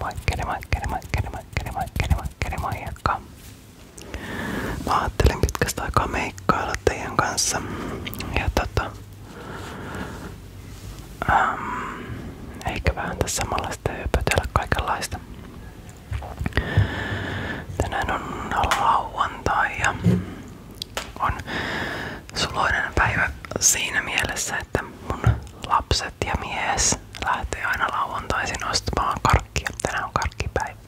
Moikkeli, moikkeli, moikkeli, moikkeli, moikkeli, moikkeli, moikka. Mä ajattelin pitkästä aikaa meikkailla kanssa. Ja tota... Ähm, eikä vähän tässä samalla sitten hypötellä kaikenlaista. Tänään on lauantai ja on suloinen päivä siinä mielessä, että mun lapset ja mies mies siis lähtee aina lauantaisin ostamaan karkkia. Tänään on karkkipäivä.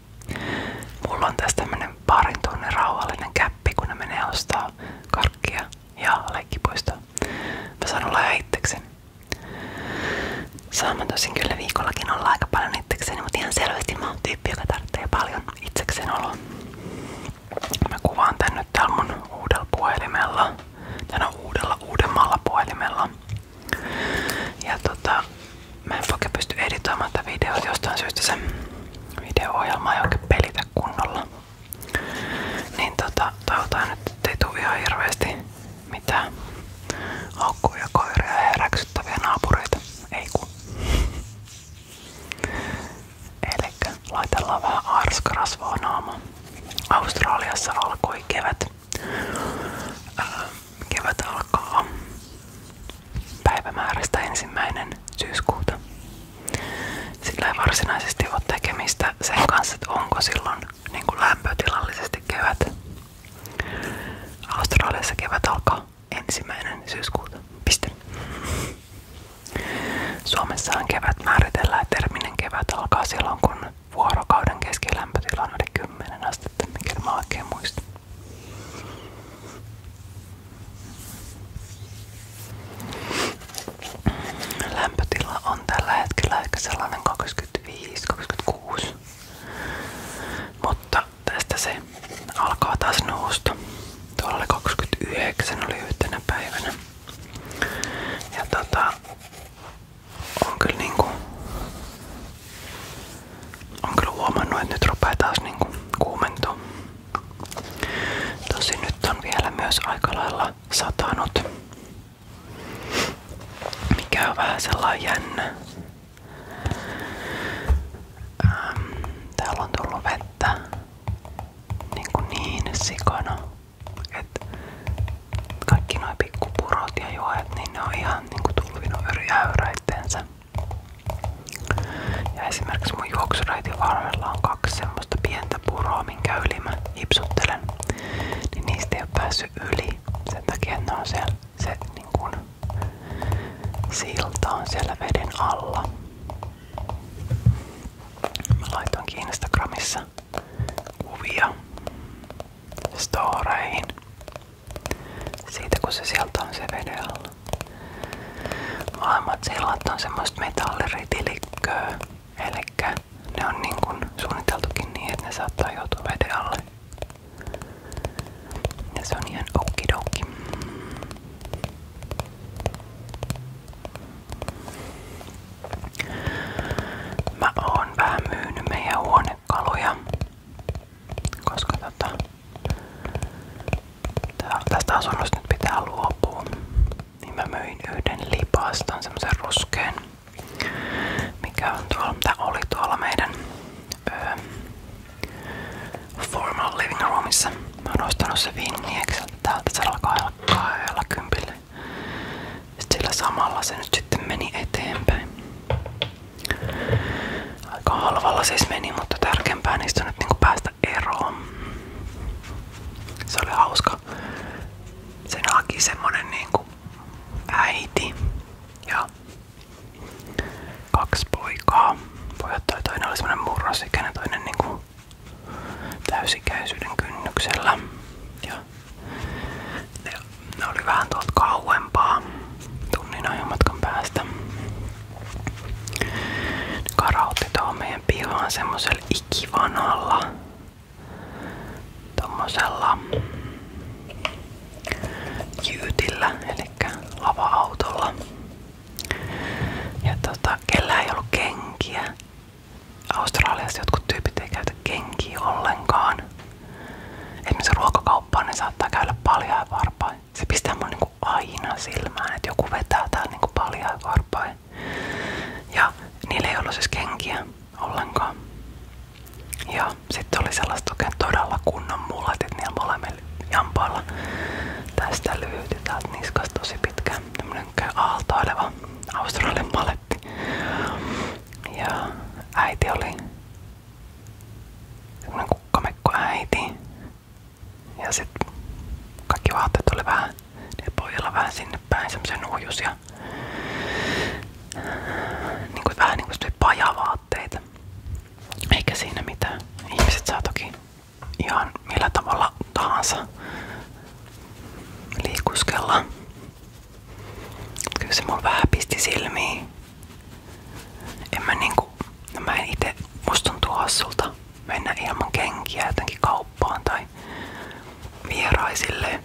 on tässä tämmönen parin tunnin rauhallinen käppi, kun ne menee ostaa ja leikkipuistoa. Mä saan olla itsekseni. viikollakin olla aika paljon itsekseni, mutta selvästi mä paljon itsekseen oloa. Mä kuvaan tän nyt täällä mun uudella puhelimella tänä uudella uudemmalla puhelimella. Ja tota, mä en oikein tätä videota jostain syystä se video-ohjelma ei oikein pelitä kunnolla. Niin tota, toivotaan nyt, ettei tuu ihan hirveesti mitään haukkuja, koiria ja räksyttäviä Ei kun. Elikkä laitellaan vähän Australiassa alkoi kevät. Ää, äh, kevät alkaa päivämäärästä ensimmäinen syyskuuta. Sillä ei varsinaisesti ole tekemistä sen kanssa, että onko silloin niin kuin lämpötilallisesti kevät. Australiassa kevät alkaa ensimmäinen syyskuuta. Piste. Suomessahan kevät määritellään terminen kevät alkaa silloin, kun vuorokauden keskilämpötila on yli 10 astetta, mikä mä oikein muistan. Lämpötila on tällä hetkellä ehkä sellainen 25-26, mutta tästä alkaa taas nousta. Tuolla oli oli yhtenä päivänä. Ja tota, on niinku, on kyllä huomannut, että nyt niinku Tosin nyt on vielä myös aika lailla satanut. sellainen jännä. Ähm, täällä on tullut vettä. Niinku niin sikana. Et kaikki nuo pikkupurot ja joet, niin ne on ihan niinku tulvinut eri äyräitteensä. Ja esimerkiksi mun juoksureitin varrella on kaksi semmoista pientä puroa, minkä yli mä hipsuttelen. Niin niistä ei ole päässyt yli. Sen takia ne on siellä, se niin kun, silta on siellä veden alla. Mä laitoinkin Instagramissa kuvia storeihin siitä kun se sieltä on se veden alla. Maailmat sillat on semmoista metalliritilikköä, elikkä ne on niin kuin suunniteltukin niin, että ne saattaa joutua veden alle. Ja se on ihan okidoki. Mä oon vähän myynyt meidän huonekaluja, koska tota, tästä asunnosta nyt pitää luopua. Niin mä myin yhden lipaston, semmosen ruskeen, mikä on tuolla, mitä oli tuolla meidän öö, formal living roomissa. Mä oon ostanut se vinniekseltä täältä kahdella kympillä. Sillä samalla se nyt sitten meni eteenpäin. Aika halvalla siis mutta tärkeämpää niistä on nyt niinku päästä eroon. Se oli hauska. Sen haki semmonen niinku äiti ja kaksi poikaa. Pojat toi toinen oli semmonen murrosikäinen, toinen niinku täysikäisyyden kynnyksellä. Ja ne, ne oli vähän tuolta kauempaa tunnin ajomatkan päästä. Ne karautti tuohon meidän pihaan semmosella ikivanalla tommosella jyytillä, eli lava-autolla. Ja tota, kellä ei ollut kenkiä, Australiassa jotkut tyypit ei käytä kenkiä ollenkaan. Esimerkiksi ruokakauppaan ne saattaa käydä paljaa varpain. Se pistää mun niinku aina silmään, että joku vetää täällä niinku paljaa varpain. Ja niillä ei ollut siis kenkiä ollenkaan. Ja sitten oli sellaista oikein todella kunnon mullat, että niillä molemmilla jampailla tästä lyhyt ja täältä niskasta tosi pitkä käy aaltoileva Australian paletti. Ja äiti oli semmonen kukkamekko äiti. Ja sit kaikki vaatteet oli vähän, ne pojilla vähän sinne päin, semmosen ja niin kuin, vähän niinku pajavaatteita. Eikä siinä mitään. Ihmiset saa toki ihan millä tavalla tahansa liikuskella. Kyllä se mulla vähän pisti silmiin. En mä niinku, no mä en ite, musta tuntuu hassulta mennä ilman kenkiä jotenkin kauppaan tai vieraisille.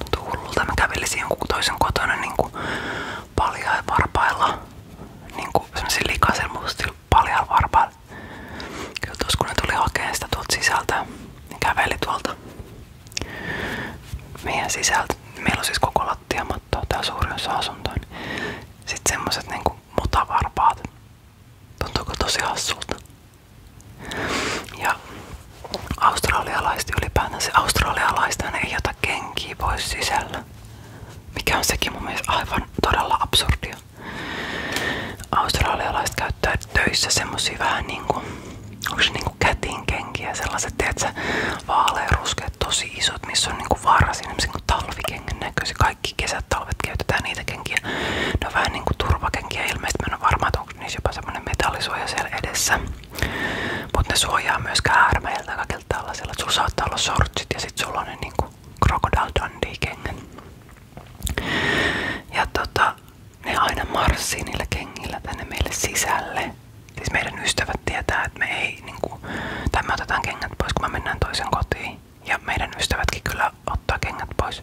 Tuntuu hullulta, mä kävelisin jonkun toisen kotona niinku paljaa varpailla. Niinku semmosen likaisella mustilla paljaa varpailla. Kyllä tuossa kun ne tuli hakemaan sitä tuolta sisältä, niin käveli tuolta meidän sisältä. Meillä on siis koko lattiamatto, tää suuri osa asuntoon. Niin Sitten semmoset niinku mutavarpaat. Tuntuuko tosi hassulta? Ja australialaiset se Australialaisten ei ota kenkiä pois sisällä. Mikä on sekin mun mielestä aivan todella absurdia australialaiset käyttää töissä semmosia vähän niinku, onks niinku kätinkenkiä, sellaiset, tiedätkö, vaaleanruskeat, tosi isot, missä on niinku varsin, niinku talvikengän näköisiä, kaikki kesät, talvet käytetään niitä kenkiä. Ne vähän niinku turvakenkiä, ilmeisesti mä en ole varma, että onko niissä jopa semmonen metallisuoja siellä edessä. mutta ne suojaa myöskään käärmeiltä, kaikilta tällaisilta, että sulla saattaa olla sortsit ja sit sulla on ne niinku Crocodile Dundee-kengän. Ja tota, ne aina marssii niillä kengillä tänne meille sisälle. Siis meidän ystävät tietää, että me ei niinku, tai me otetaan kengät pois, kun me mennään toisen kotiin. Ja meidän ystävätkin kyllä ottaa kengät pois.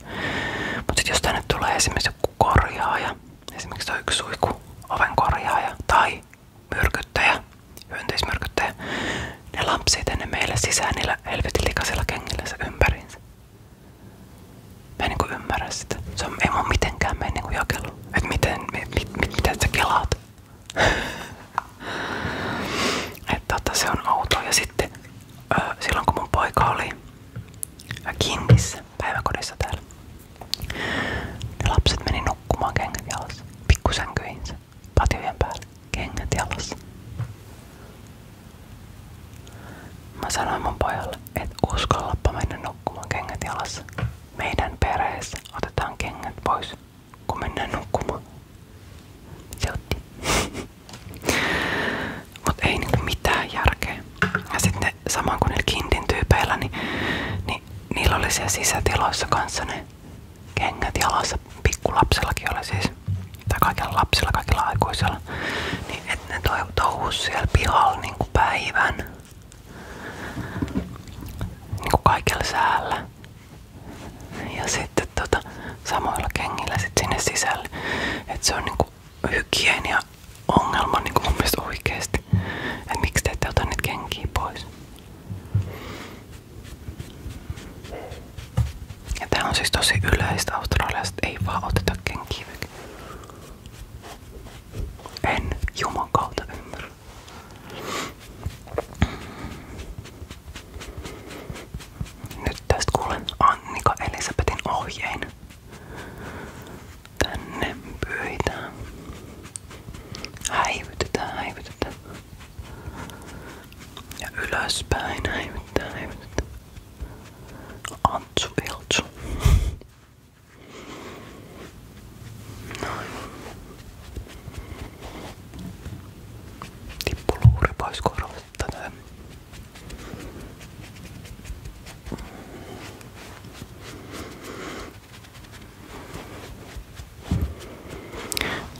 Mutta sitten jos tänne tulee esimerkiksi joku korjaaja, esimerkiksi tuo yksi suiku, oven korjaaja tai myrkyttäjä, hyönteismyrkyttäjä, ne lampsii tänne meille sisään niillä helvetin kengillä se ympäriinsä. Mä en niinku ymmärrä sitä. mitenkään mene niinku jakelu. Et miten, mit, mit, mit, mitä sä kelaat? Et tota, Ja sitten silloin kun mun poika oli päiväkodissa täällä, ne lapset meni nukkumaan kengät jalassa pikkusänkyihinsä patjojen päälle, kengät jalassa. Mä sanoin mun pojalle, että uskallappa mennä nukkumaan kengät jalassa. Meidän perheessä otetaan kengät pois, kun mennään nukkumaan. Se Mut ei niinku mitään järkeä. Ja sitten saman kuin niillä kintin tyypeillä, niin, niin niillä oli sisätiloissa kanssa ne kengät jalassa pikkulapsellakin oli siis, tai kaikilla lapsilla, kaikilla aikuisilla, niin et ne touhus siellä pihalla niin kuin päivän niin kuin kaikilla säällä. Ja sitten tota, samoilla kengillä sit sinne sisälle. Että se on niin niinku hygienia ongelma niinku mun mielestä oikeesti. Että miksi te ette niitä kenkiä pois. Ja tää on siis tosi yleistä Australiasta, ei vaan oteta kenkiä. En juman kautta ymmärrä. Nyt tästä kuulen Annika Elisabetin ohjein. Tänne pyritään. Häivytetään, häivytetään. Ja ylöspäin häivyttää, häivyttää. Antsu Eltsu. Noin. Tippu luuri pois korvasta näin.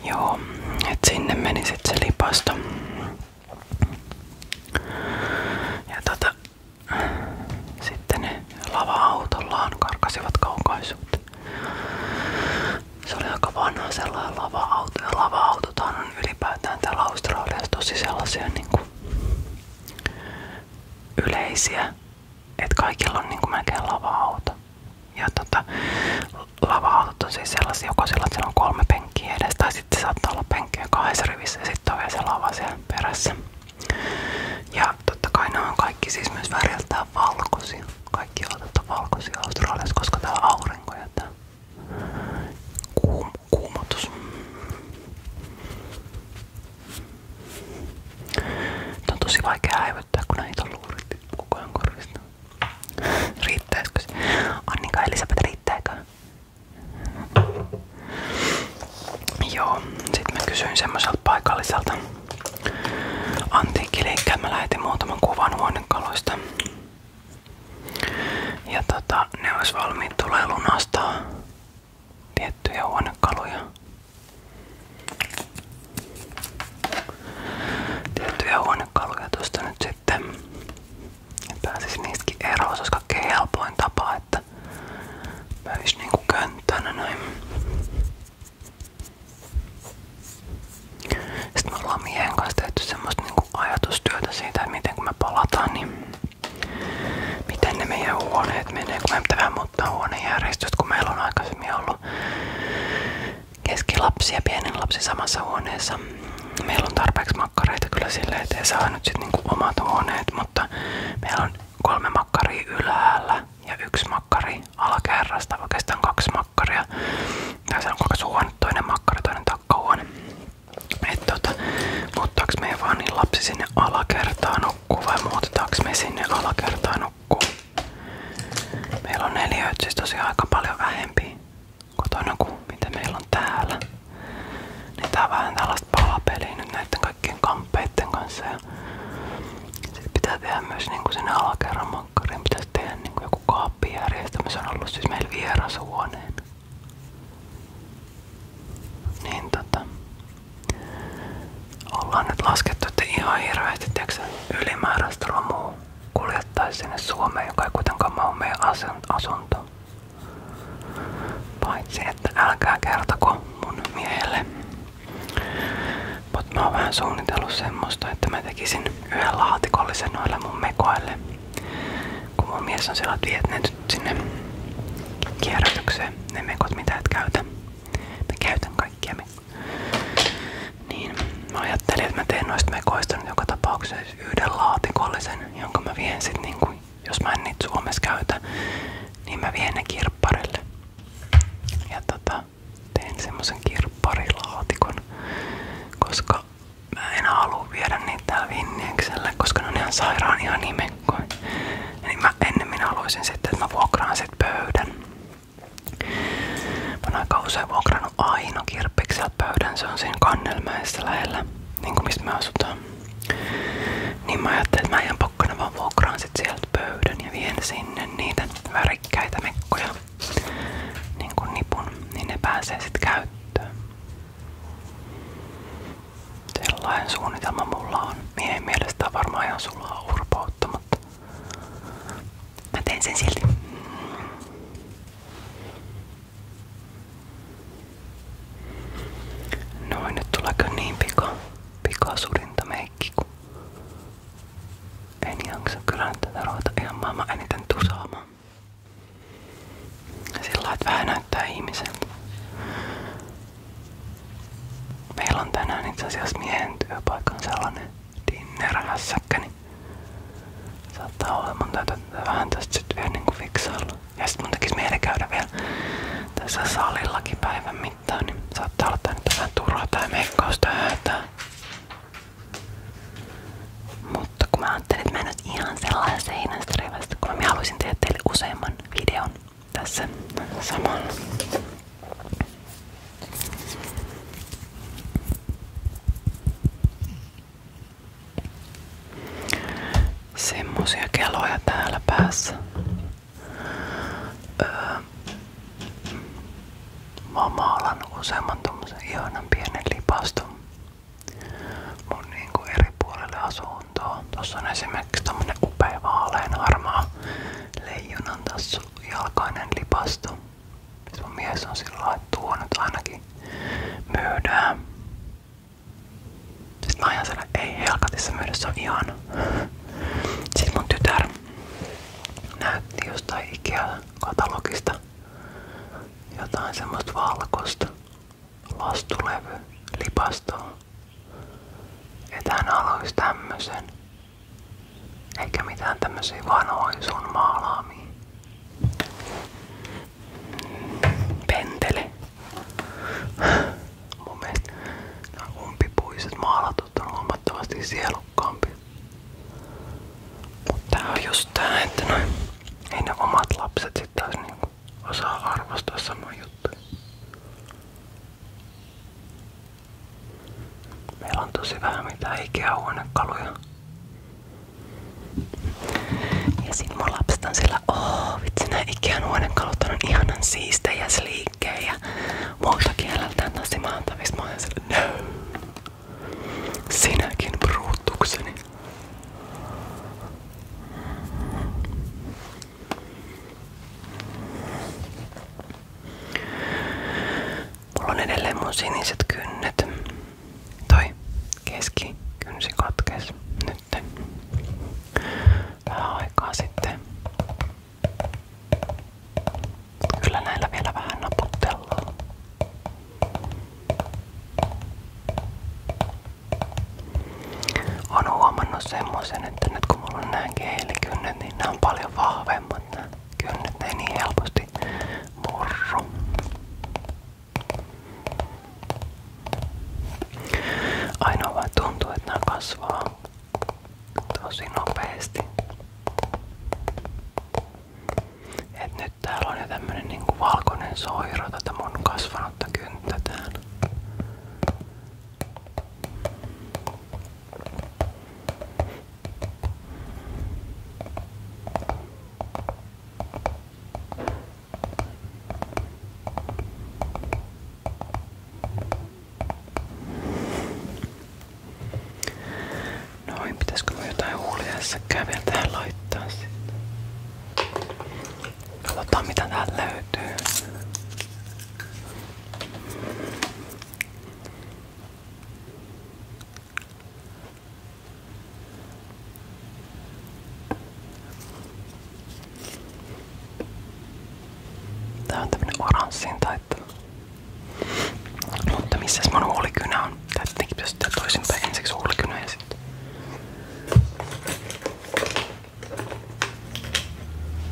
Joo, et sinne meni sit se lipasto. Ja tota, sitten ne lava-autollaan karkasivat kaukaisuuteen. Se oli aika vanha sellainen lava-auto. Ja lava-autothan on ylipäätään täällä Australiassa tosi sellaisia niinku yleisiä että kaikilla on niin kuin melkein lava-auto. Ja tota, lava-autot on siis sellaisia, joko sillä, että siellä on kolme penkkiä edes, tai sitten saattaa olla penkkiä kahdessa rivissä ja sitten on vielä se lava siellä perässä. Ja totta kai nämä on kaikki siis myös väriltään valkoisia. Kaikki on on valkoisia Australiassa, koska täällä on aurinko ja tää kuum Tää on tosi vaikea häivyttää, kun näitä on luurit koko ajan korvista. Riittäisikö se? Annika ja Elisabeth, riittääkö? Joo, sit mä kysyin semmoiselta paikalliselta antiikkiliikkeeltä. Mä lähetin muutaman kuvan huonekaluista. Ja tota, ne olisi valmiit tulee lunastaa tiettyjä huonekaluja. Tiettyjä huonekaluja tuosta sitten pääsisi niistäkin eroon, se olisi kaikkein että möisi niinku könttänä noin. Sitten me ollaan miehen kanssa tehty semmoista niinku ajatustyötä siitä, että miten kun me palataan, niin miten ne huoneet menee, kun meidän pitää vähän muuttaa huonejärjestystä, kun meillä on aikaisemmin ollut keskilapsi ja pienin lapsi samassa huoneessa. Meillä on tarpeeksi makkareita kyllä silleen, ettei saa nyt sit niinku omat huoneet, mutta meillä on kolme makkaria ylhäällä ja yksi makkari alakerrasta, oikeastaan kaksi makkaria. Tässä on kaksi huone, toinen makkari, toinen takkahuone. Et tota, muuttaako meidän vaan niin lapsi sinne alakertaan nukkuu vai muutetaanko me sinne alakertaan nukkuu. Meillä on neljä siis tosiaan aika paljon vähempi kotona kuin mitä meillä on täällä. Niin tää on vähän tällaista palapeliä nyt näiden kaikkien kamppeiden kanssa. Ja sit pitää tehdä myös niinku sinne alakerran makkariin, pitäisi tehdä niinku joku kaappijärjestelmä. Se on ollut siis meillä vierashuoneen. Niin tota, Ollaan nyt laskettu, että ihan hirveästi tiiäksä, ylimääräistä romua kuljettaisi sinne Suomeen, joka ei kuitenkaan ole meidän asunto. Paitsi, että älkää kertoko mun miehelle. Mutta mä oon vähän suunnitellut semmoista, että mä tekisin yhden laatikollisen noille mun mekoille. Kun mun mies on siellä, että sinne kierrätykseen, ne mekot mitä et käytä. Mä käytän kaikkia. Niin mä ajattelin, että mä teen noista mekoista nyt joka tapauksessa siis yhden laatikollisen, jonka mä vien sit niinku, jos mä niitä Suomessa käytä, niin mä vien kirpparille. Ja tota, teen semmosen kirpparilaatikon, koska mä en halua viedä niitä täällä koska ne on ihan nime keikkoihin. Niin mä ennemmin haluaisin sitten, että mä vuokraan sit pöydän. Mä oon aika usein vuokrannut Aino Kirppikseltä pöydän, se on siinä Kannelmäessä lähellä, niin kuin mistä me asutaan. Niin mä ajattelin, että mä ihan pokkana vaan vuokraan sit sieltä pöydän ja vien sinne niitä värikkäitä mekkoja niin kuin nipun, niin ne pääsee sit käyttöön. Sellainen suunnitelma mulla on. Miehen mielestä on varmaan ihan sulaa urpoutta, mutta mä teen sen silti. Noin, nyt niin pika, pikasurinta meikki, kun en jaksa kyllä nyt tätä ruveta ihan Sillä lailla, vähän näyttää ihmiseltä. Meillä on tänään itse asiassa miehen työpaikan sellainen dinner-hässäkkä, niin saattaa olla, mun täytyy vähän tästä sitten vielä niinku fiksailla. Ja sitten mun tekis mieli käydä vielä tässä salillakin päivän mittaan, niin saattaa olla tää nyt vähän turha tää meikkaus tää Mutta kun mä ajattelin, että mä en nyt ihan sellainen seinästä kun mä haluaisin tehdä teille useamman videon tässä samalla. Semmosia keloja täällä päässä. Öö, mä oon maalannut useamman tommosen ihanan pienen kuntoon. Tuossa on esimerkiksi tämmönen upea vaalean harmaa leijonan tässä jalkainen lipasto. Siis mies on sillä että tuo nyt ainakin myydään. Sitten mä ajan siellä, ei helkatissa myydä, se on ihana. Sitten mun tytär näytti jostain Ikea-katalogista jotain semmoista valkoista lastulevylipastoa että hän haluaisi tämmösen. Eikä mitään tämmösiä vanhoja sun maalaamia. Pentele. Mun mielestä nämä umpipuiset maalatut on huomattavasti sielukkaampi. tää on just tää, että noin ei ne omat lapset sit taas niinku osaa arvostaa samoja juttuja. Meillä on tosi vähän mitään ikähuonekaluja. Ja sit mun lapset on sillä, oh vitsi nää Ikean huonekalut on ihanan siistejä se liikkeen ja muuta kieleltään tosi maantavissa. Mä oon sillä, no. Sinäkin bruttukseni Mulla on edelleen mun siniset kynnet. Toi keski kynsi katkes nyt. Vähän aikaa sitten. Kyllä näillä vielä vähän naputtellaan on huomannut semmoisen, että nyt kun mulla on näin kielikynnet, niin nämä on paljon vahvemmat nämä kynnet, ei niin helposti murru. Ainoa vaan tuntuu, että nämä kasvaa tosi nopeasti. Et nyt täällä on jo tämmönen niinku valkoinen soiro tätä mun kasvanutta kynttä täällä mitään. Noin, pitäisikö mä jotain huuliassa käveltää laittaa sitten? Katsotaan mitä täältä löytyy. Tää on oranssiin taittava. Mutta missäs mun huulikynä on? Tää tietenkin pitäisi tehdä toisinpäin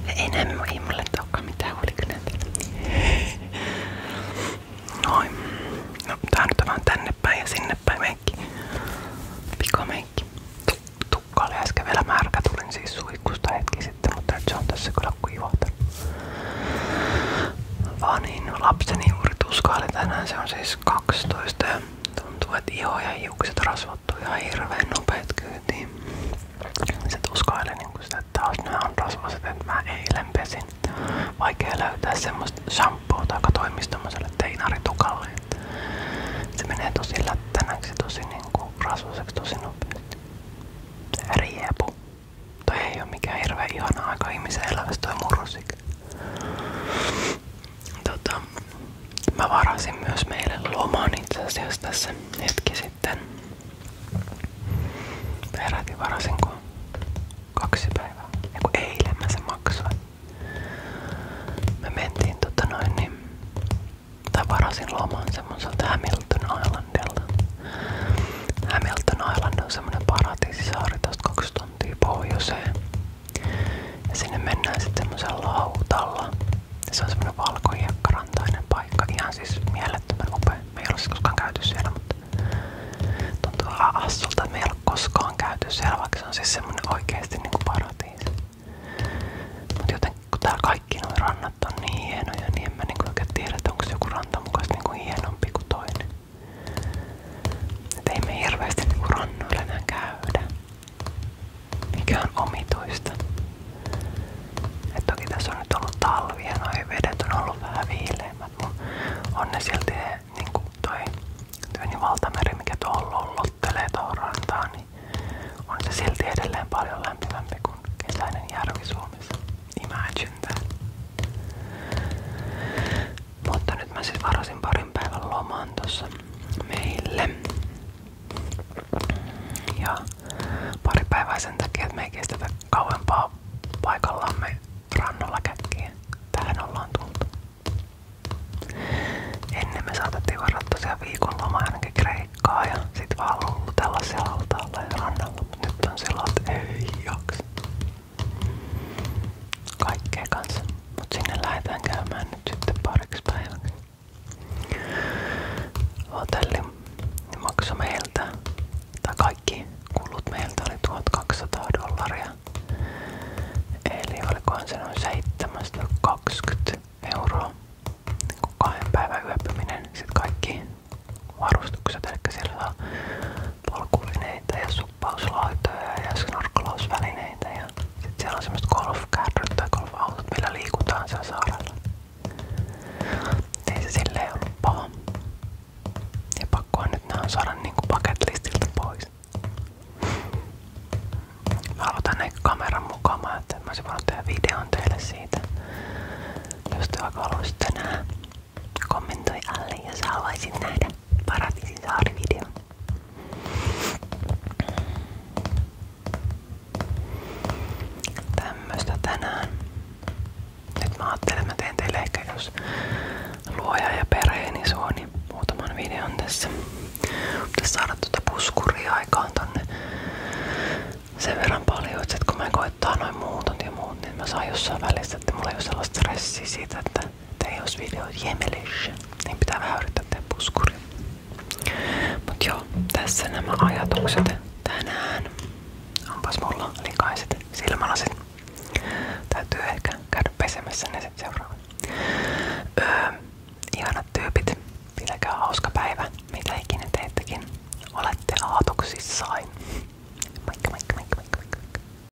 ei ei mulle olekaan mitään hulikynäitä. Noin. No tää tänne päin ja sinne päin meikki. Pikameikki. Tukka oli äsken vielä märkä. Tulin siis suikusta hetki mutta nyt on tässä kyllä kuivahtanut. Vaan niin, lapseni juuri tuskaili tänään. Se on siis 12 ja Tuntuu, että iho ja hiukset rasvattuu ihan hirveen nopeet kyytiin. Sitten uskailen niin sitä, taas nämä on rasvaset, että mä eilen pesin. Vaikea löytää semmoista shampoota, joka toimii Se menee tosi lättänäksi, tosi niinku rasvaseksi, tosi nopeasti. ei oo mikään hirveän ihana aika ihmisen elämässä toi murrosi. Tota, mä varasin myös meille loman itse asiassa tässä hetki sitten. Peräti varasinko kaksi päivää. Eiku eilen mä se maksoin. Me mentiin tota noin niin, tai varasin loman semmoiselta Hamilton Islandilta. Hamilton Island on semmonen paratiisisaari tosta kaksi tuntia pohjoiseen. Ja sinne mennään sitten semmoisella lautalla. Ja se on semmoinen valkohiekkarantainen paikka. Ihan siis mielettömän upea. Me ei ole siis koskaan käyty siellä, mutta tuntuu assulta, että me ei ole koskaan käyty siellä, vaikka se on siis semmoinen oikeasti niin kuin paratiisi. Mutta jotenkin kun täällä kaikki nuo rannat on niin hienoja, niin en mä niin kuin oikein tiedä, että onko joku ranta mukaan niin kuin hienompi kuin toinen. Et ei me hirveästi niinku rannoilla enää käydä. Mikä on omituista. Et toki tässä on nyt ollut talvi ja noi vedet on ollut vähän viileimmät, mutta on ne silti niinku toi Työni niin valtameri, mikä tuolla lollottelee tuohon rantaan, niin on se silti edelleen paljon lämpimämpi kuin kesäinen järvi Suomessa. Imagine that. Mutta nyt mä siis varasin parin päivän lomaan tossa meille. Ja pari päivää sen takia, että me ei kestetä kauempaa paikallamme rannalla käkkiä. Tähän ollaan tultu. Ennen me saatettiin varata tosiaan viikonloma ainakin Kreikkaa ja sit vaan lullutella siellä altaalla ja rannalla. nyt on sillä, että ei jaksa kaikkea kanssa. Mut sinne lähdetään käymään nyt sitten pariksi päiväksi. Hotelli maksoi kaikki kulut meiltä oli 1200 dollaria. Eli olikohan se noin 720 euroa. Niin kahden päivän yöpyminen, sitten kaikki varustukset, eli siellä polkuvineitä ja suppauslautoja ja snorklausvälineitä ja sitten siellä on semmoset golfkärryt tai golfautot, millä liikutaan siellä saarella. Ei se silleen ollut paha. Ja pakkohan nyt nää on saada niinku paketlistilta pois. Mä aloitan ehkä kameran mukaan, siitä. Jos te vaikka kommentoi alle, jos haluaisit nähdä Paratiisin saarivideon. Tämmöstä tänään. että mä teen teille ehkä jos luoja ja perheeni niin suoni niin muutaman videon tässä. Pitäis saada tuota puskuria aikaan tonne sen verran paljon, että kun mä koittaa noin muutot ja muut, niin mä saan jossain välissä, että mulla ei ole sellaista stressiä siitä, että tai jos video on jemelissä, niin pitää vähän yrittää tehdä puskuri. Mut joo, tässä nämä ajatukset tänään. Onpas mulla likaiset silmälasit. Täytyy ehkä käydä pesemässä ne sitten seuraavan. Öö, ihanat tyypit, pitäkää hauska päivä, mitä ikinä teettekin. Olette aatoksissain. Moikka moikka moikka moikka moikka.